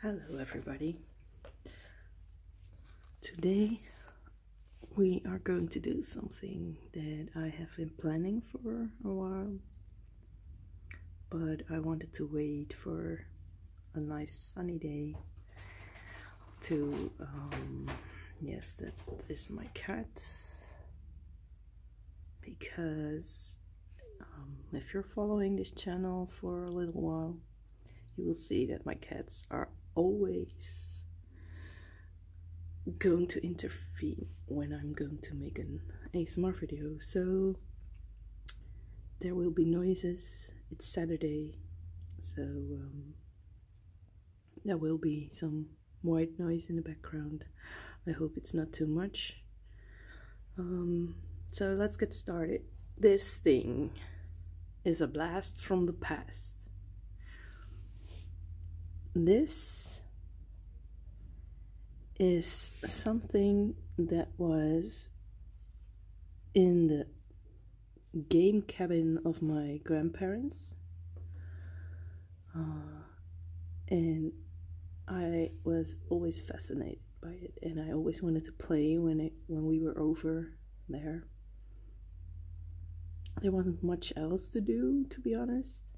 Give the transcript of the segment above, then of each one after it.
Hello, everybody. Today we are going to do something that I have been planning for a while, but I wanted to wait for a nice sunny day to. Um, yes, that is my cat because um, if you're following this channel for a little while you will see that my cats are always going to interfere when I'm going to make an ASMR video so there will be noises it's Saturday so um, there will be some white noise in the background. I hope it's not too much. Um, so let's get started. This thing is a blast from the past. This is something that was in the game cabin of my grandparents uh, and I was always fascinated by it, and I always wanted to play when it when we were over there. There wasn't much else to do, to be honest.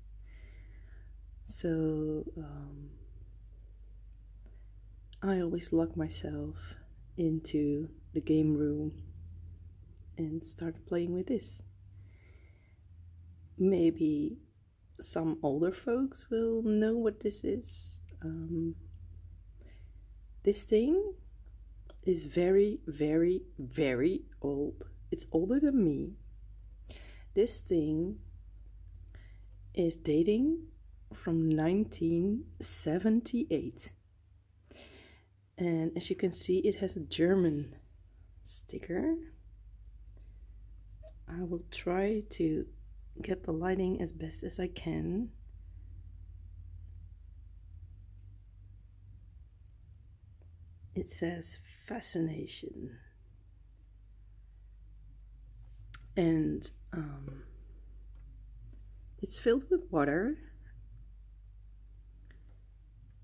So um, I always locked myself into the game room and started playing with this maybe some older folks will know what this is. Um, this thing is very, very, very old. It's older than me. This thing is dating from 1978. And as you can see, it has a German sticker. I will try to get the lighting as best as I can. It says fascination. And um, it's filled with water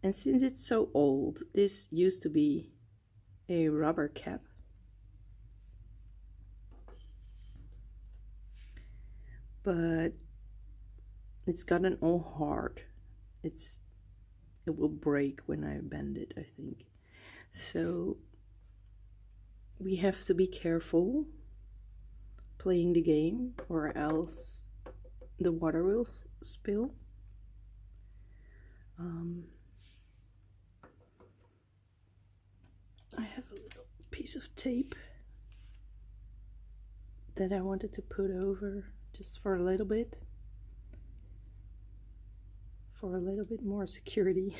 and since it's so old, this used to be a rubber cap. But it's gotten all hard. It's it will break when I bend it, I think. So we have to be careful playing the game or else the water will spill um, I have a little piece of tape that I wanted to put over just for a little bit for a little bit more security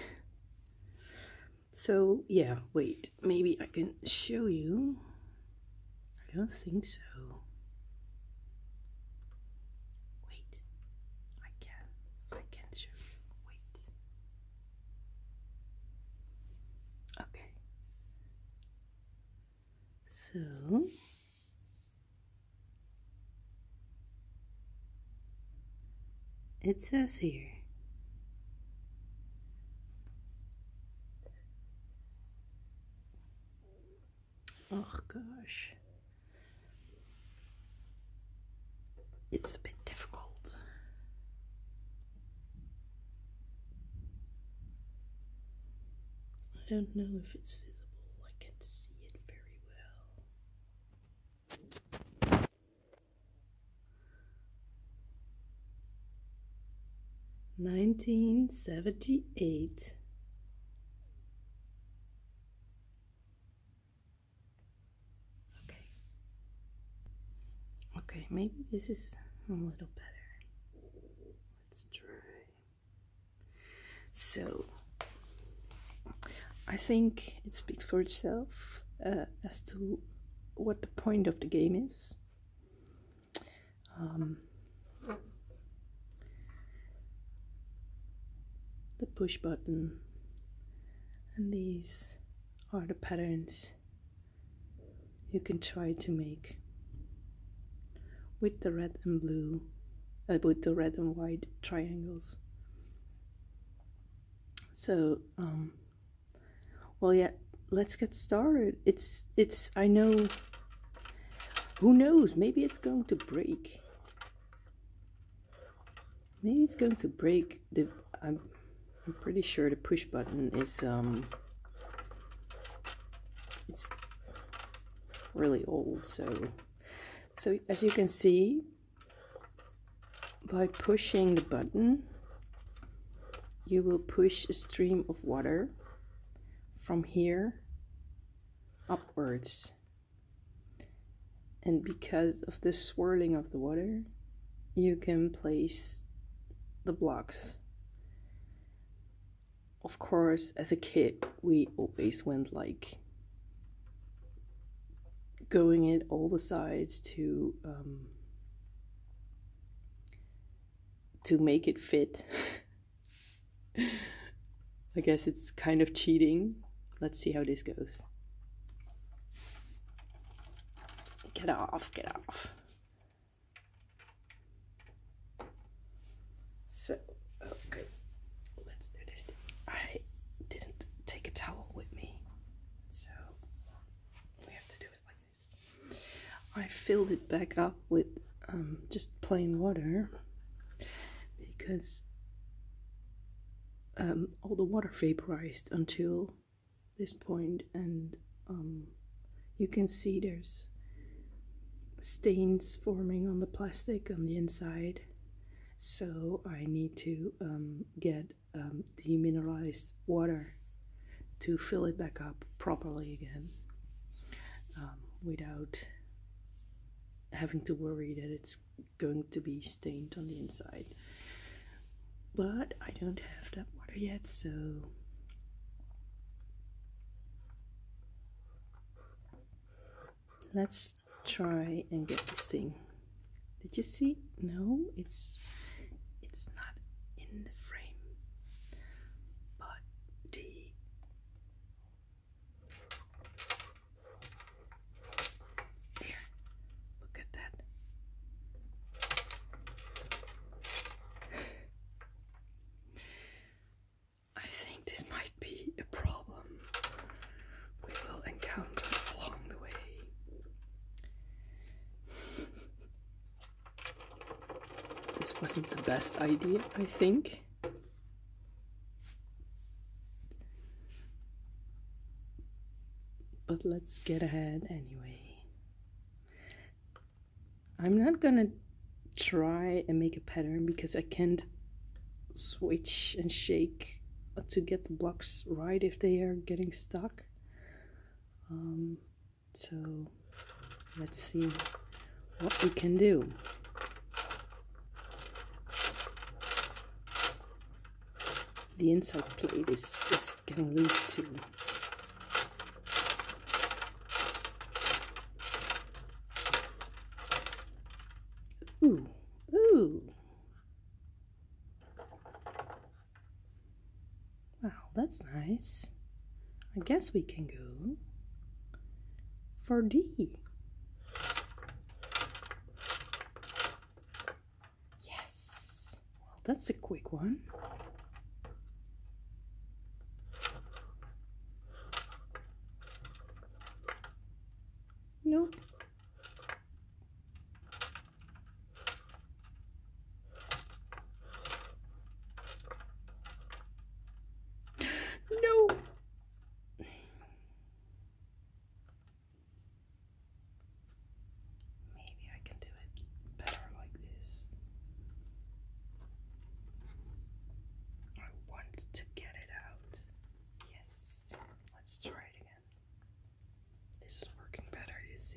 so yeah wait maybe I can show you I don't think so. Wait, I can. I can show you. Wait. Okay. So. It says here oh gosh it's a bit difficult I don't know if it's visible I can see it very well 1978 okay okay maybe this is a little better let's try so I think it speaks for itself uh, as to what the point of the game is um, the push button and these are the patterns you can try to make with the red and blue uh, with the red and white triangles so um, well yeah let's get started. It's, it's, I know, who knows? Maybe it's going to break. Maybe it's going to break the, I'm, I'm pretty sure the push button is, um, it's really old. So, so as you can see, by pushing the button, you will push a stream of water from here upwards. And because of the swirling of the water, you can place the blocks. Of course, as a kid, we always went like going it all the sides to um, to make it fit. I guess it's kind of cheating. Let's see how this goes. Get off, get off. So, okay, let's do this. I didn't take a towel with me, so we have to do it like I filled it back up with um, just plain water because um, all the water vaporized until this point, and um, you can see there's stains forming on the plastic on the inside. So I need to get um, demineralized water to fill it back up properly again um, without having to worry that it's going to be stained on the inside. But I don't have that water yet, so let's try and get this thing. Did you see? No, it's it's not in the frame. But the there, look at that. I think this might be a problem we will encounter along the way. This wasn't the best idea, I think. But let's get ahead anyway. I'm not gonna try and make a pattern because I can't switch and shake to get the blocks right if they are getting stuck. Um, so let's see what we can do. The inside plate is, is getting loose too. Ooh, ooh. Wow, that's nice. I guess we can go for D. Yes. Well, that's a quick one. Nope. No! Maybe I can do it better like this. I want to get it out. Yes, let's try it again. This is working better, you see.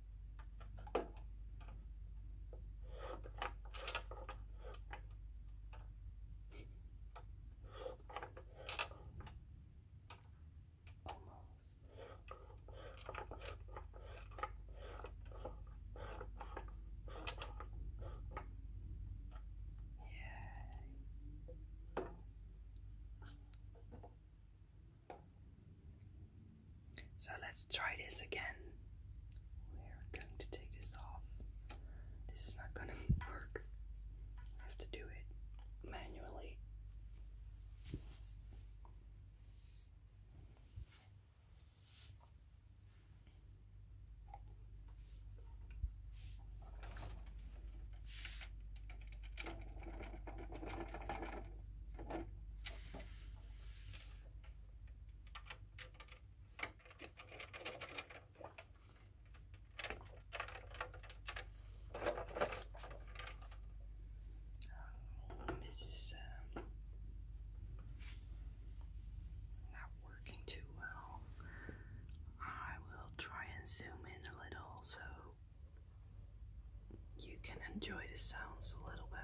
Almost. Yeah. So let's try this again. We're going to take this off. This is not going to work. I have to do it manually. Um, this is um, not working too well. I will try and zoom in a little so you can enjoy the sounds a little better.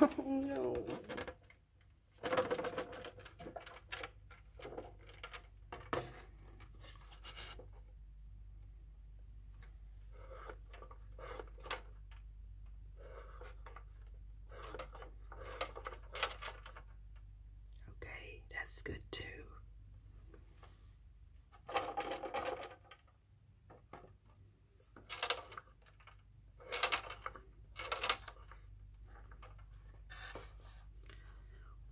Oh no. Okay, that's good too.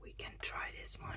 We can try this one.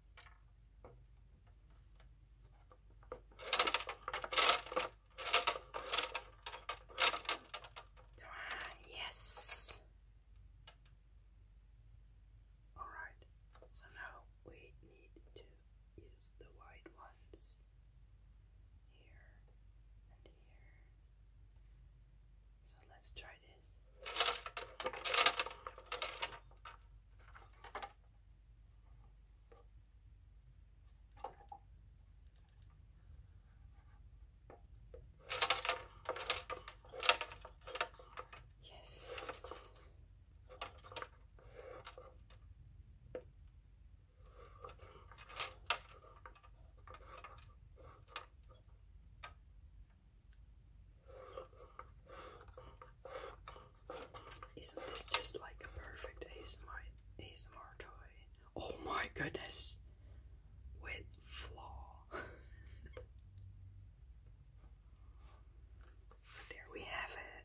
Come yes. All right. So now we need to use the white ones here and here. So let's try it is. Yes. Isn't this just like a perfect ASMR, ASMR toy? Oh my goodness! With flaw. there we have it.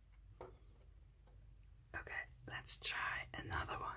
Okay, let's try another one.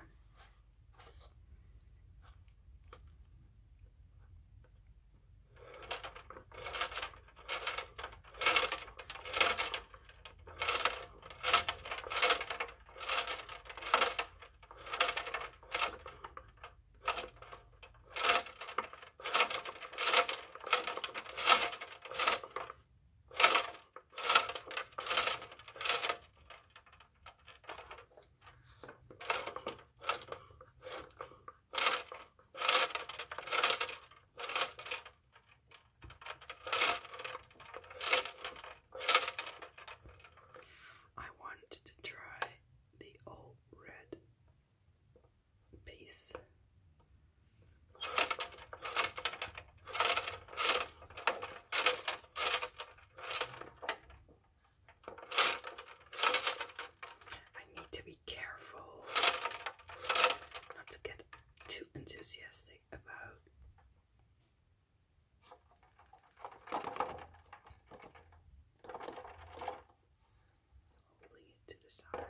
I wanted to try the old red base I need to be careful not to get too enthusiastic about holding it to the side.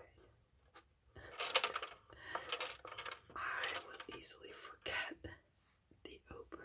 I will easily forget the open.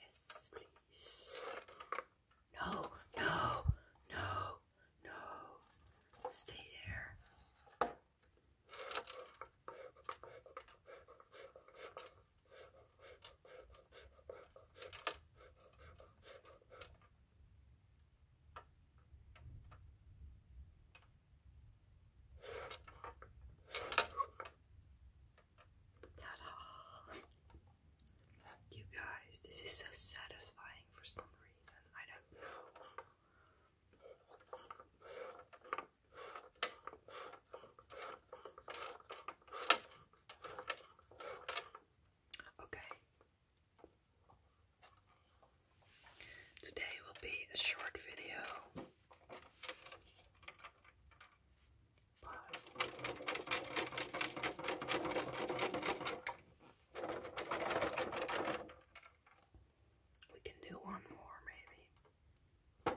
Yes, please. No, no, no, no. Stay there. Ta-da! You guys, this is so satisfying for some reason. I don't Okay. Today will be a short video. We can do one more, maybe.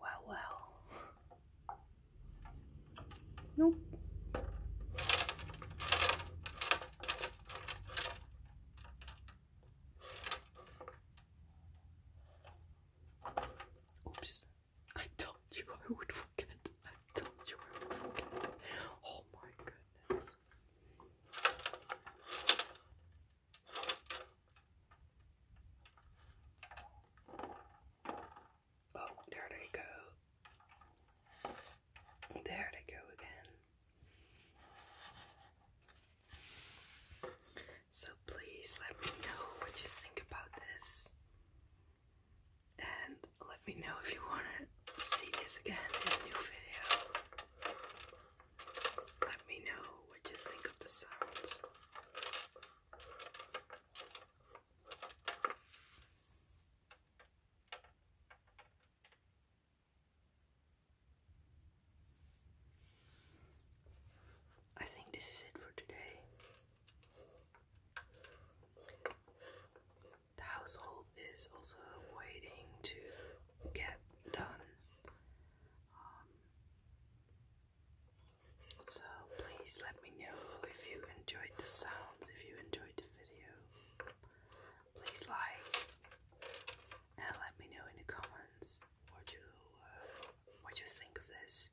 Well, well. Nope. Oops. I told you I would forget. I told you I would forget. Oh my goodness. Oh, there they go. There they go again. So please let me know what you think about this. And let me know if you want to see this again in a new video. Let me know what you think of the sounds. I think this is it for today the household is also waiting to get done. Um, so please let me know if you enjoyed the sounds, if you enjoyed the video. Please like and let me know in the comments what you uh, what you think of this.